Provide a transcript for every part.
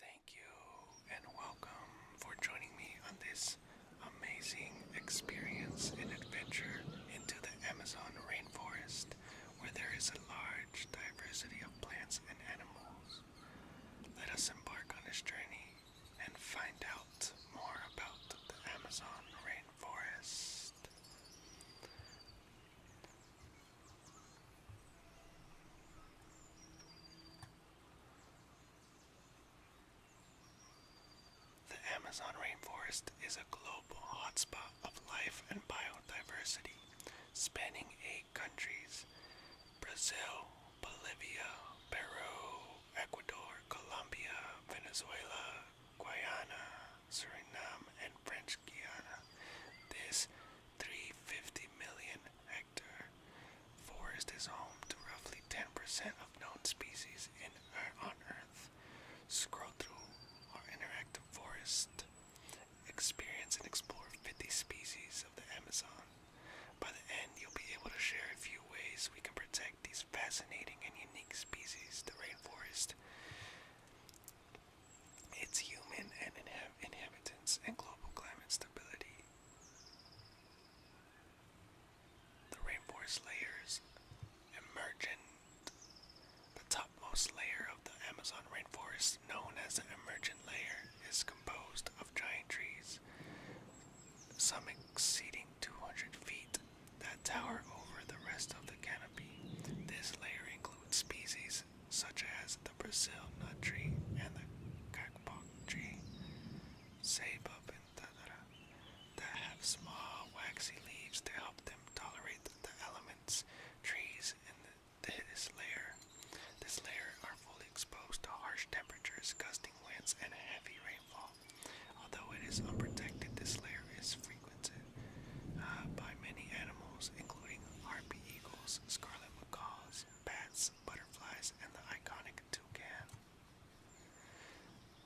Thank you and welcome for joining me on this amazing experience and adventure into the Amazon rainforest where there is a large diversity of plants and animals. Let us embark on this journey and find out more about the Amazon rainforest. The Amazon rainforest is a global hotspot of life and biodiversity, spanning eight countries Brazil, Bolivia, Peru, Ecuador, Colombia, Venezuela, Guyana, Suriname, and French Guiana. This 350 million hectare forest is home to roughly 10% of known species er, on Earth. Scroll through our interactive forest. Experience and explore 50 species of the Amazon. By the end, you'll be able to share a few ways we can protect these fascinating and unique species, the rainforest its human and inhab inhabitants, and global climate stability. The rainforest layers emergent. The topmost layer of the Amazon rainforest, known as the emergent layer, is composed of giant trees, some exceeding 200 feet, that tower over the rest of the canopy. This layer includes species such as the Brazil nut tree and the kakbok tree, ceiba and that have small waxy leaves to help them tolerate the elements. Trees in this layer, this layer are fully exposed to harsh temperatures, gusting winds, and heavy rainfall. Although it is unprotected, this layer is frequented uh, by many animals, including harpy eagles, scarlet scarlet macaws, bats, butterflies, and the iconic toucan.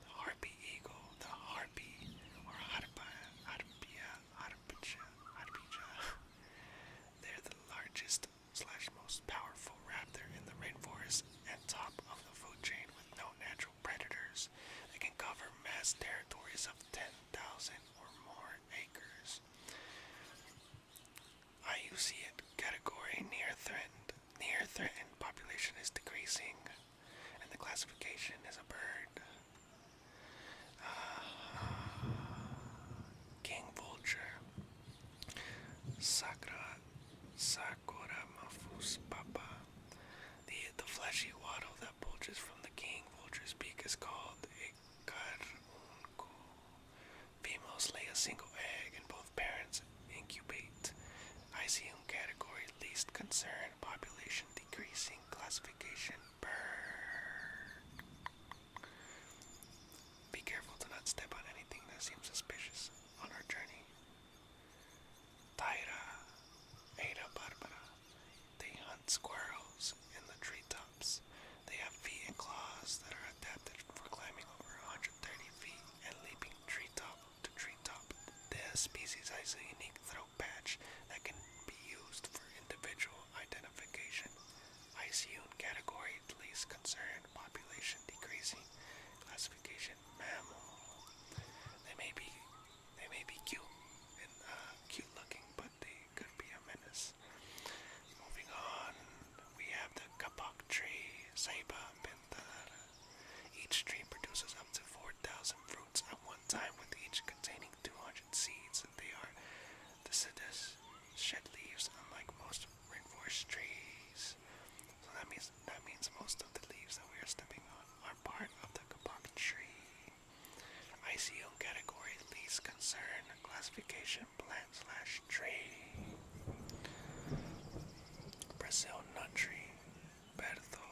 The harpy eagle, the harpy, or harpia, harpia, harpia, They're the largest slash most powerful raptor in the rainforest and top of the food chain with no natural predators. They can cover mass territories of 10,000 or more acres. Cardinals. IUCN category near threatened. Near threatened population is decreasing, and the classification is a bird. Uh, king vulture. Sacra, sacra mafus papa. The the fleshy wattle that bulges from the king vulture's beak is called a Females lay a single egg and both parents incubate. ICM category least concern, population decreasing, classification bird. Be careful to not step on anything that seems suspicious on our journey. Taira, Ada Barbara. They hunt squirrels in the treetops. They have feet and claws that are adapted for climbing over 130 feet and leaping treetop to treetop. This species has a unique throat patch that can be used for individual identification. ICUN category least concern population decreasing. Classification mammal. They may be they may be cute and uh, cute looking, but they could be a menace. Moving on, we have the kapok tree, Saiba Pintada. Each tree produces up to 4,000 fruits at one time, with each containing 200 seeds. They are deciduous, shed leaves, unlike most rainforest trees. So that means that means most of the leaves that we are stepping on are part of the kapok tree. ICO category least concern classification plant slash tree. Brazil nut tree, Bertho,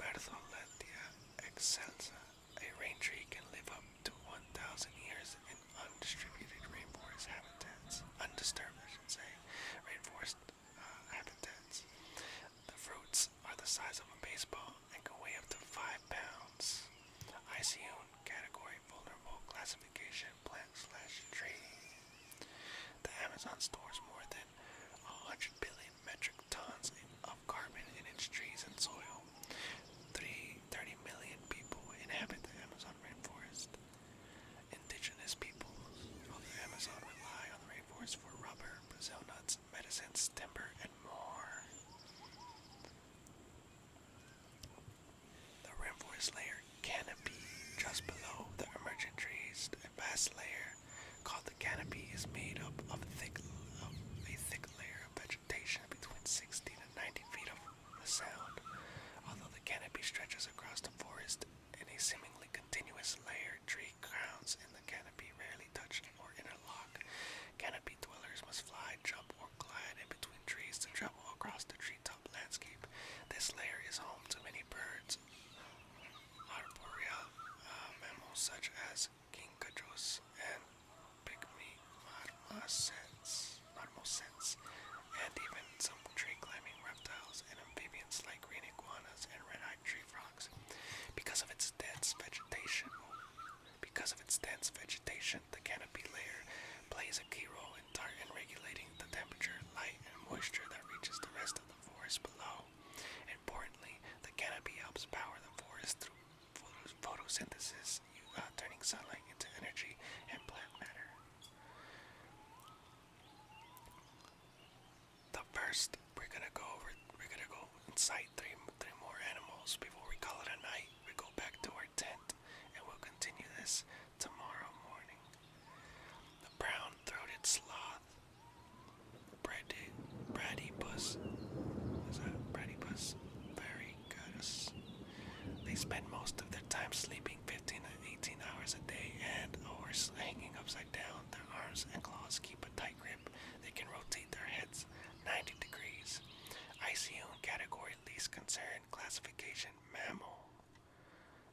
Bertholetia excelsa. A rain tree can live up to 1,000 years in undistributed rainforest habitats, undisturbed, I should say, rainforest uh, habitats. The fruits are the size of a baseball and can weigh up to 5 pounds. ICON category vulnerable classification plant slash tree. The Amazon stores more than 100 billion metric tons of carbon in its trees and soil. 3, 30 million people inhabit the Amazon rainforest. Indigenous people of the Amazon rely on the rainforest for rubber, Brazil nuts, medicines, timber, and more. The rainforest layer canopy, just below the emergent trees, a vast layer called the canopy is made up of thick a thick layer of vegetation between 60 to 90 feet of the sound. Although the canopy stretches across the forest in a seemingly continuous layer, tree crowns in the canopy rarely touch or Canopy dwellers must fly, jump, or glide in between trees to travel across the treetop landscape. This layer is home to many birds, arboreal um, mammals such as king kinkajous and pygmy marmosets, marmosets, and even some tree-climbing reptiles and amphibians like green iguanas and red-eyed tree frogs. Because of its dense vegetation, because of its dense vegetation, the canopy layer plays a key role in, regulating the temperature, light, and moisture that reaches the rest of the forest below. Importantly, the canopy helps power the forest through photosynthesis, uh, turning sunlight into energy and plant matter the first we're gonna go over we're gonna go inside three three more animals before we call it a night. We go back to our tent and we'll continue this tomorrow morning. The brown throated sloth. Brady Bradypus. Is that Bradypus? Very good. They spend most of their time sleeping 15 to 18 hours a day and or hanging upside down. Their arms and claws keep a they can rotate their heads 90 degrees. ICU category least concern classification mammal.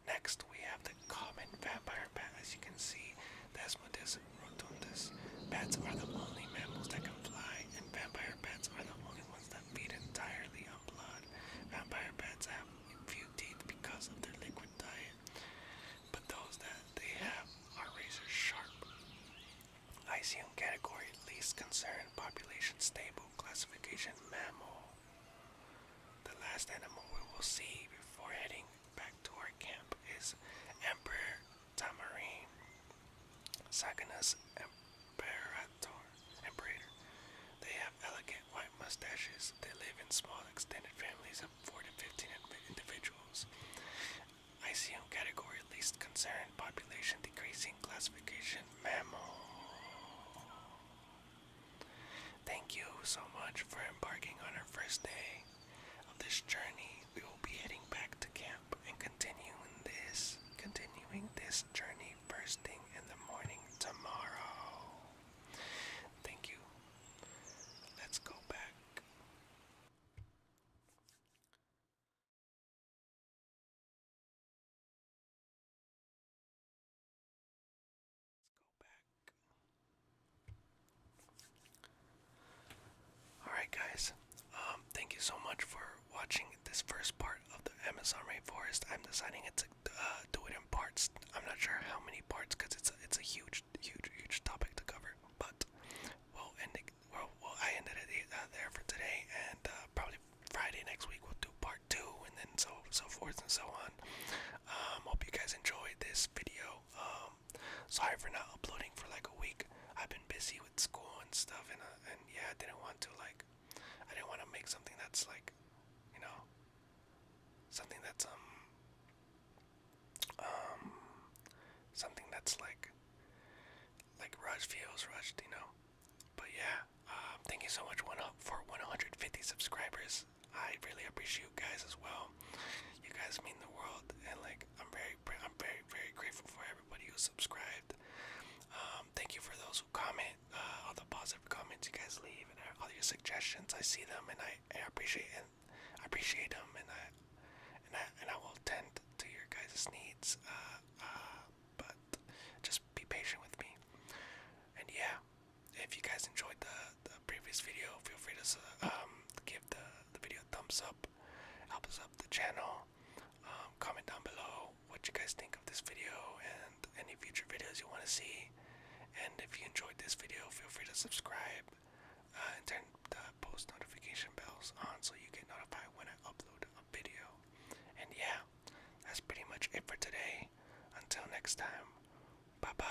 Next, we have the common vampire bat. As you can see, Desmodus rotundus. Bats are the only mammals that can fly, and vampire bats are the only ones that feed entirely on blood. Vampire bats have few teeth because of their liquid diet. But those that they have are razor sharp. ICM category least concern population stable classification mammal. The last animal we will see before heading back to our camp is Emperor tamarin. Saganus Imperator. Imperator. They have elegant white mustaches. They live in small extended families 4 to 15 individuals. ICM category least concern, population decreasing, classification, mammal. Thank you so much for embarking on our first day of this journey. We will be heading back to camp and continuing this continuing this journey first thing in the morning tomorrow. Thank you. Let's go back. Alright guys, um, thank you so much for watching this first part of the Amazon rainforest. I'm deciding to uh, do it in parts I'm not sure how many parts because it's a, it's a huge huge huge topic to cover. But we'll end it. Well, well I ended it uh, there for today, and uh, probably Friday next week we'll do part two, and then so so forth and so on. Um, hope you guys enjoyed this video. Um, sorry for not uploading for like a week. I've been busy with school and stuff, and uh, and yeah, I didn't want to like, I didn't want to make something that's like, you know, something that's um um, something that's like, like Rush feels rushed, you know. But yeah, um, thank you so much one up for 150 subscribers. I really appreciate you guys as well. You guys mean the world, and like I'm very, I'm very, very grateful for everybody who subscribed. Um, thank you for those who comment, uh, all the positive comments you guys leave, and uh, all your suggestions. I see them, and I, I appreciate I appreciate them, and I and I and I will tend to your guys' needs. Uh, uh, but just be patient with me. And yeah, if you guys enjoyed the, the previous video, feel free to um, give the the video a thumbs up. Help us up the channel. Um, comment down below what you guys think of this video and any future videos you want to see. And if you enjoyed this video, feel free to subscribe uh, and turn the post notification bells on so you get notified when I upload a video. And yeah, that's pretty much it for today. Until next time, bye bye.